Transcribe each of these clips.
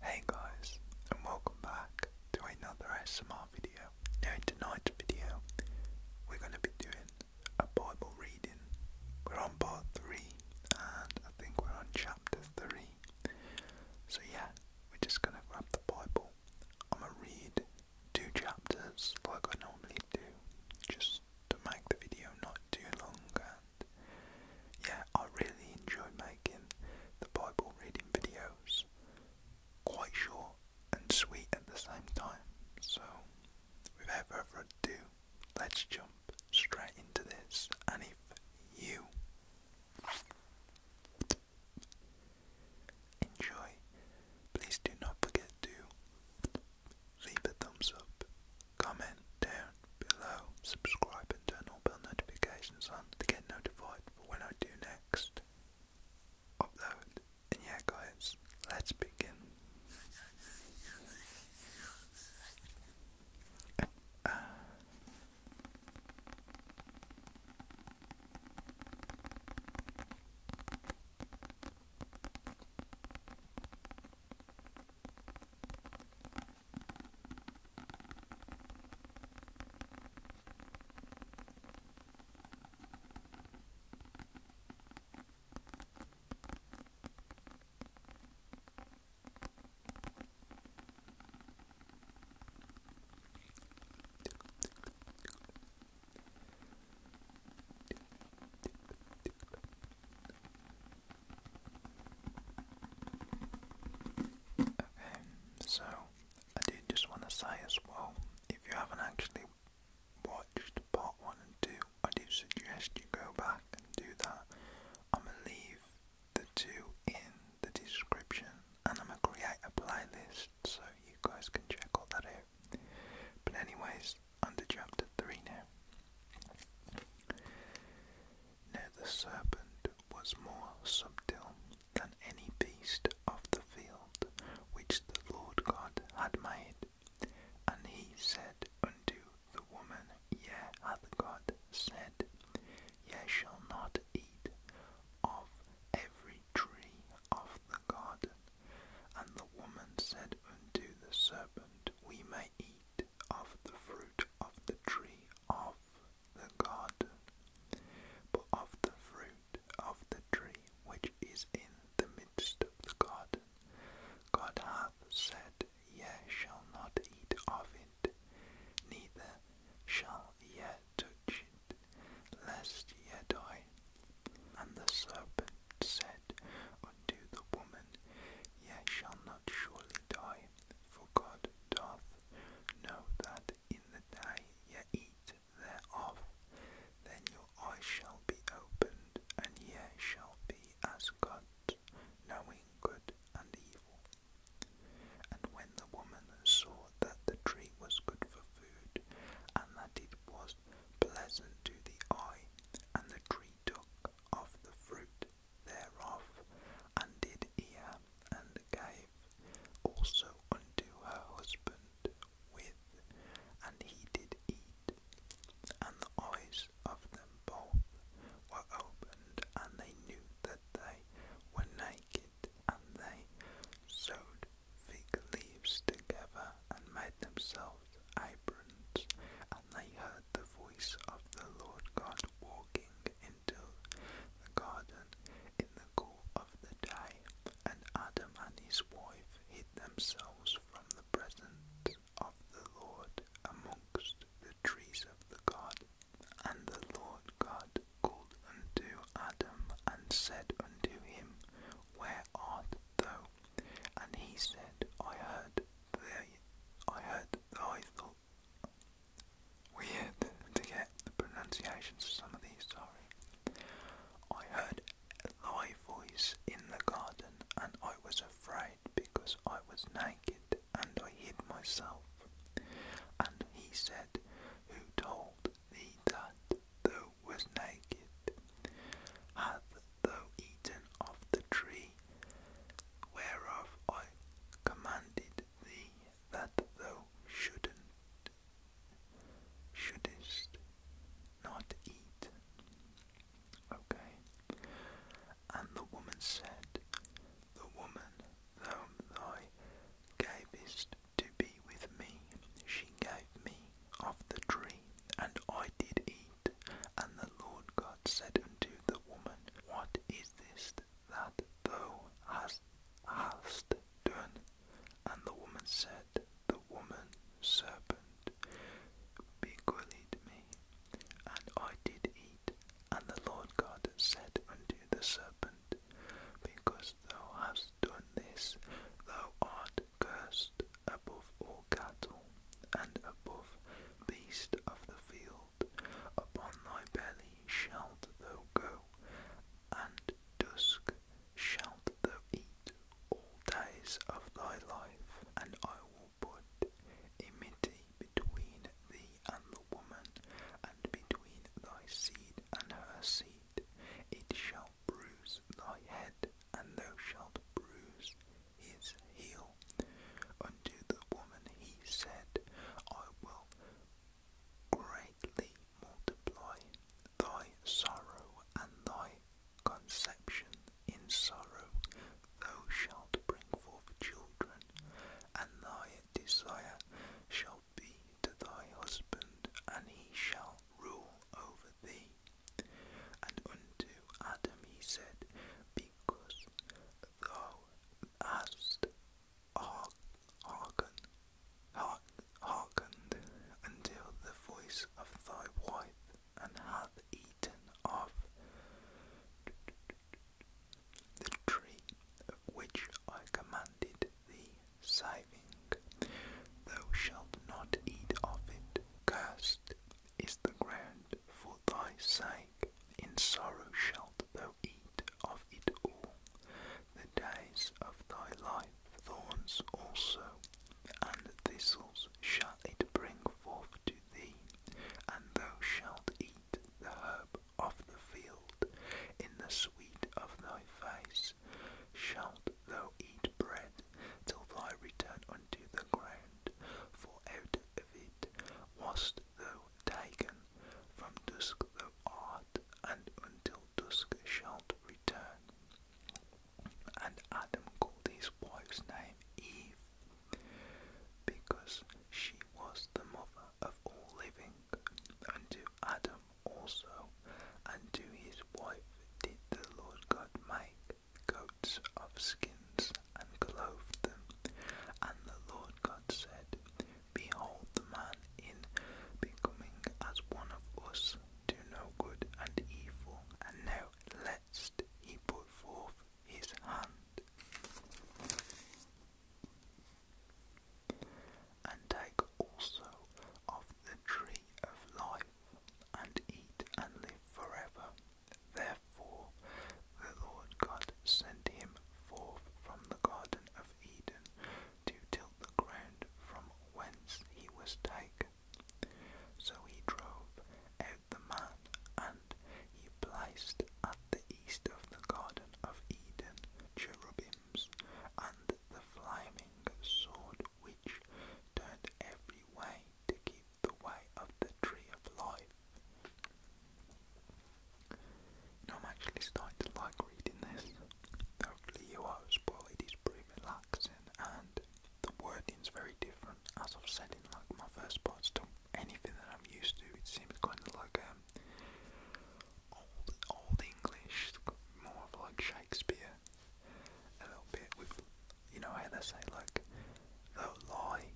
Hey guys, and welcome back to another ASMR video. Now in tonight's video, we're going to be doing a Bible reading. We're on part three, and I think we're on chapter three. So, yeah, we're just going to grab the Bible. I'm going to read two chapters like I normally do, just to make the video not too long. And yeah, I really enjoy making the Bible reading videos quite short and sweet at the same time. So, without further ado, let's jump straight into this. And if you enjoy, please do not forget to leave a thumbs up, comment down below, subscribe, and turn all bell notifications on to get notified for when I do next upload yeah, guys, let's begin. Okay, so I did just want to say as well if you haven't actually watched part one and two, I do suggest you go back and do that. I'm gonna leave the two in the description and I'm gonna create a playlist so you guys can check all that out. But anyways, under chapter three now. Now the serpent was more subtle than any beast of the field which the Lord God had made. And he said unto the woman, Yea hath God said, Ye shall not eat of every tree of the garden. And the woman said unto the serpent, We may eat of the fruit of the tree of the garden, but of the fruit of the tree which is in the midst of God hath said, Ye shall not eat of it, neither shall ye touch it, lest ye die. And the serpent said unto the woman, Ye shall not surely die, for God doth know that in the day ye eat thereof, then your I shall be opened, and ye shall be as God, knowing good and evil. And when the woman saw that the tree was good for food, and that it was pleasant to the eye, and the tree took of the fruit thereof, and did eat and gave also unto her husband, with, and he did eat. And the eyes of them both were opened, and they knew that they were naked, and they sewed fig leaves together and made themselves aprons. And they heard the voice of the Lord God walking into the garden in the cool of the day, and Adam and his wife hid themselves from the presence of the Lord amongst the trees of the God, And the Lord God called unto Adam and said unto him, Where art thou? And he said, I heard thy, I heard thy Weird to get the pronunciations of some of these, sorry. I heard thy voice in the garden, and I was afraid because I was naked, and I hid myself. And he said, Who told thee that thou was naked? Hath thou eaten of the tree whereof I commanded thee that thou shouldst, not not eat? Okay. And the woman said, The woman whom thou gavest to be with me, she gave me of the tree, and I did eat. And the Lord God said unto the woman, What is this that thou hast, hast done? And the woman said, The woman serpent bequeathed me, and I did eat. And the Lord God said unto the serpent, Because thou hast done this, thou art cursed above all cattle, and above beasts of the field. Upon thy belly shalt thou go, and dusk shalt thou be all days of thy life, and I will put enmity between thee and the woman, and between thy seed and her seed. It shall bruise thy head, and thou shalt bruise his heel. Unto the woman he said, I will greatly multiply thy sorrow and thy conception in sorrow thou shalt bring forth children, and thy desire shall be to thy husband, and he shall rule over thee. And unto Adam he said, Because thou hast hearkened until the voice of thy wife, and hath eaten of the tree of which I commanded thee, saving, thou shalt not eat of it. Cursed is the ground for thy sake, in sorrow shalt thou eat of it all the days of thy life. Thorns also and thistles shall it bring forth to thee, and thou shalt eat the herb of the field. In the sweet of thy face shalt thou eat bread, till thy return unto the ground, for out of it wast thou taken, from dusk thou art, and until dusk shalt return and Adam called his wife's name Eve because she was the mother of all living, and to Adam also and to his wife did the Lord God make coats of skins and clothed them. And the Lord God said, Behold, the man in becoming as one of us, do no good and evil. And now lest he put forth his hand and take also of the tree of life and eat and live forever. Therefore the Lord God sent him forth from the garden of Eden to till the ground from whence he was taken. So he drove out the man, and he placed at the east of the Garden of Eden cherubims and the flaming sword which turned every way to keep the way of the tree of life. Now I'm actually starting to like reading this. Hopefully you are as It is pretty relaxing and the wording's very different, as I've said in like my first parts to anything that I'm used to. It seems kind of like um, old old English, more of like Shakespeare, a little bit with you know how they say like thou lie,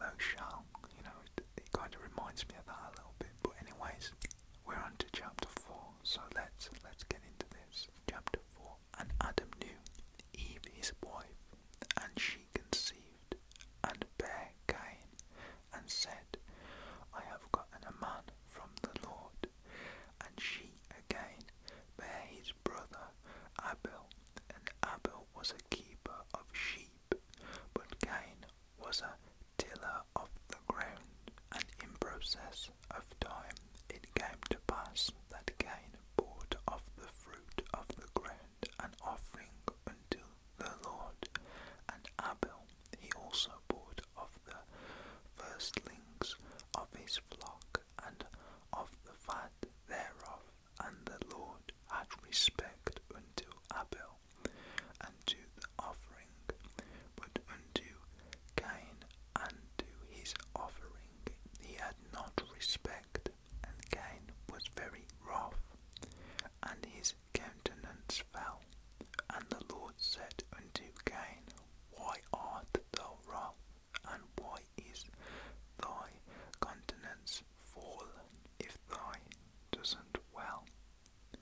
thou shall. You know, it, kind of reminds me of that a little bit. But anyways, we're on to chapter four, so let's let's get into this. Chapter four. And Adam knew Eve his wife, and she conceived and bare Cain, and said, I have gotten a man from the Lord. And she again bare his brother Abel, and Abel was a keeper of sheep, but Cain was a tiller of the ground. And in process of time it came to pass that Cain bought of the fruit of the ground an offering unto the Lord. And Abel he also bought of the firstlings of his flock and of the fat thereof. And the Lord had respect unto Abel and to the offering, but unto Cain and to his offering he had not respect, and Cain was very rough, and his countenance fell. And the Lord said unto Cain, Why art thou wroth, and why is thy countenance fallen? If thy doesn't well,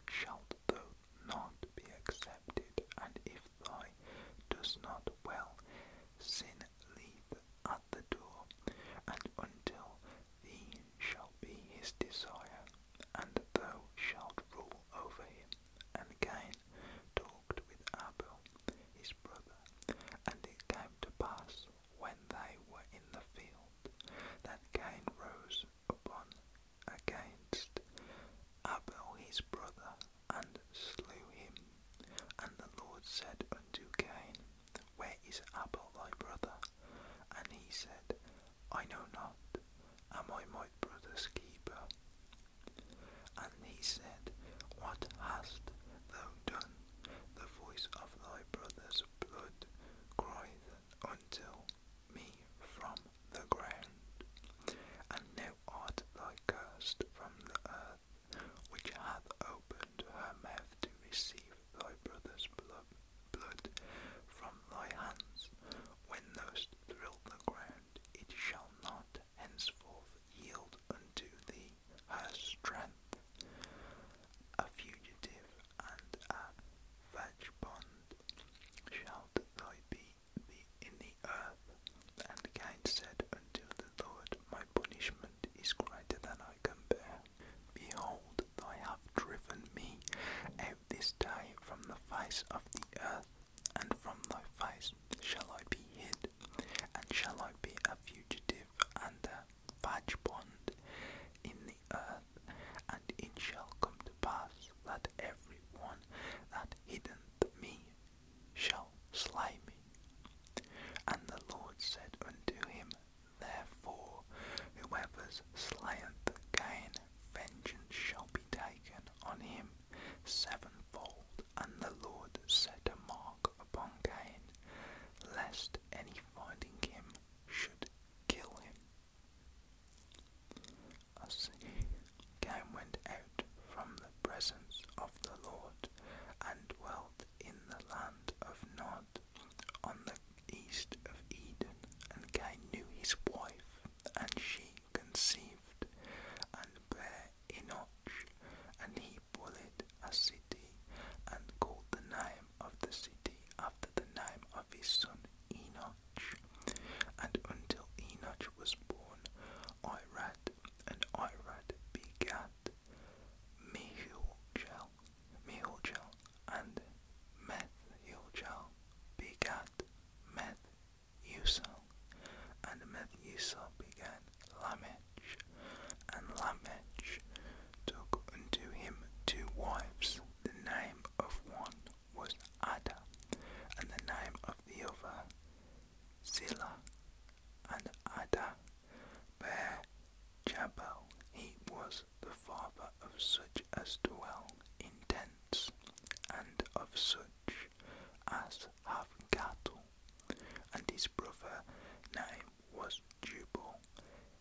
shalt thou not be accepted, and if thy does not well, sin leave at the door, and until thee shall be his desire, and thou shalt rule over him. And Cain talked with Abel his brother, and it came to pass, when they were in the field, that Cain rose upon against Abel his brother, and slew him. And the Lord said unto Cain, Where is Abel thy brother? And he said, I know not, am I my brother's keeper? And he said, What hast thou done? The voice of thy brother's blood crieth unto me from the ground, and now art thou cursed from the earth which hath opened her mouth to receive thy brother's blood from thy hands, when those thrill the ground, it shall not henceforth yield unto thee her strength. A fugitive and a vagabond shalt thou be in the earth. And Cain said unto the Lord, My punishment is greater than I can bear. Behold, I have driven me out this day from the face of the earth, and from thy face shall I be hid, and shall I be a fugitive and a vagabond in the earth, and it shall come to pass that every one that hideth me shall slay me. And the Lord said unto him, Therefore, whoever slayeth Cain, vengeance shall be taken on him sevenfold. And the Lord set a mark upon Cain, lest any finding him should kill him. As Cain went from the presence of the Lord, and dwelt in the land of Nod, on the east of Eden. And Cain knew his wife, and she conceived, and bare Enoch, and he builded a city, and called the name of the city after the name of his son Enoch. And until Enoch was born, I read and I began Begat, Mihilchel, and Methilchel begat Methusel, and Methusel begat Lamech, and Lamech took unto him two wives. The name of one was Ada, and the name of the other Silla, and Ada, where Jabal he was the father of such as dwell in tents, and of such as have cattle. And his brother name was Jubal.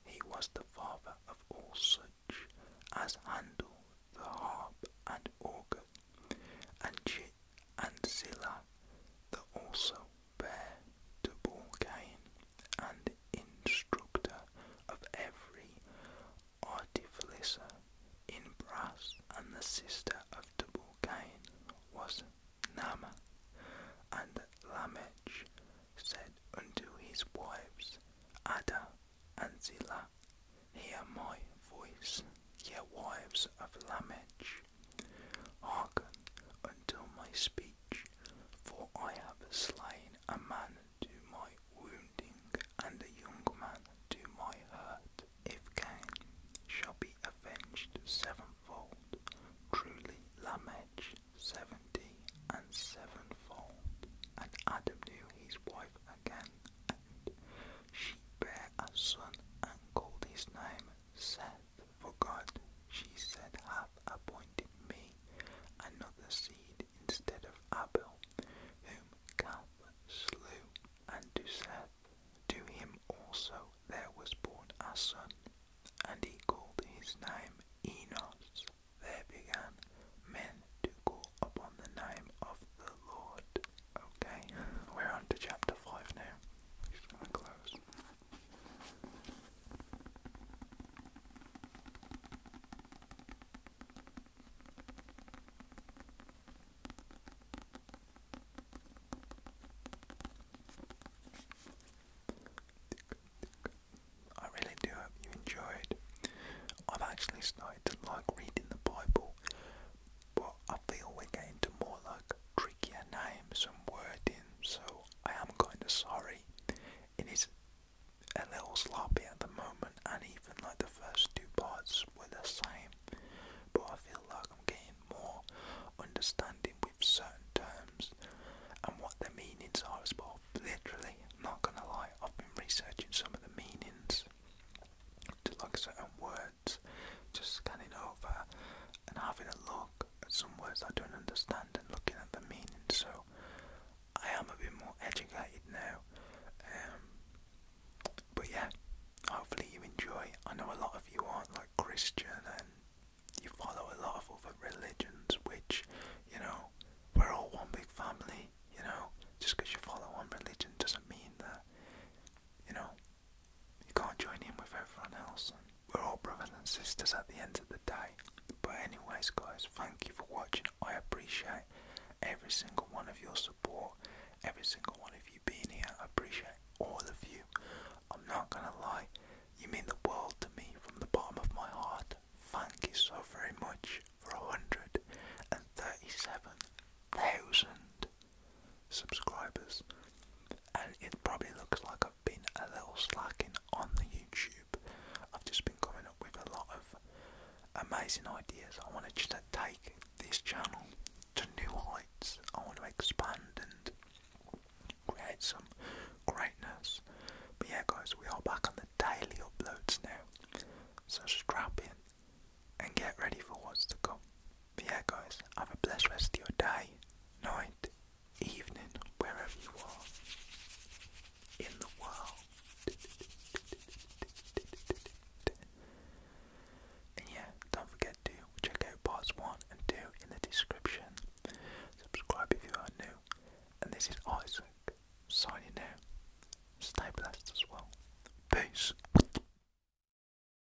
He was the father of all such as handle the harp and organ, and J and Zilla that also bear to Borgain and instructor of every artificer in brass and the sister of Tubal-Cain was Nama. And Lamech said unto his wives, Ada and Zilla, Hear my voice, ye wives of Lamech, Hearken unto my speech, for I have slain a man to my wounding, and a young man to my hurt. If Cain shall be avenged sevenfold, truly Lamech seventy and sevenfold. And Adam knew his wife again, and she bare a son, and called his name said, For God, she said, hath appointed me another seed instead of Abel, whom Gath slew. And to Seth, to him also there was born a son, and he called his name Enos. There began men to call upon the name of the Lord. Okay, we're on to chapter 5 now. i really do hope you enjoyed. I've actually started like reading the Bible but I feel we're getting to more like trickier names and wording, so I am kinda sorry. It is a little sloppy at the moment, and even like the first two parts were the same, but I feel like I'm getting more understanding with certain terms and what the meanings are as well. Literally, not gonna lie, I've been researching some of the meanings to like certain words just scanning over and having a look at some words I don't understand and looking at the meaning. So I am a bit more educated now. Um, but yeah, hopefully you enjoy. I know a lot of you aren't like Christian and you follow a lot of other religions, which, you know, we're all one big family, you know. Just because you follow one religion doesn't mean that, you know, you can't join in with everyone else. we're all brothers and sisters at the end of the day. But anyways guys, thank you for watching. I appreciate every single one of your support, every single one of you being here. I appreciate all of you. I'm not gonna lie, you mean the world to me from the bottom of my heart. Thank you so very much for 137,000 subscribers, and it probably looks like I've been a little slacking on the YouTube. I've just been coming up with a lot of amazing ideas. I want to just take this channel to new heights. I want to expand and create some greatness. But yeah, guys, we are back on the daily uploads now. So strap in and get ready for what's to come yeah, guys, have a blessed rest of your day, night, evening, wherever you are in the world. And yeah, don't forget to check out parts 1 and 2 in the description. Subscribe if you are new. And this is Isaac signing out. Stay blessed as well. Peace.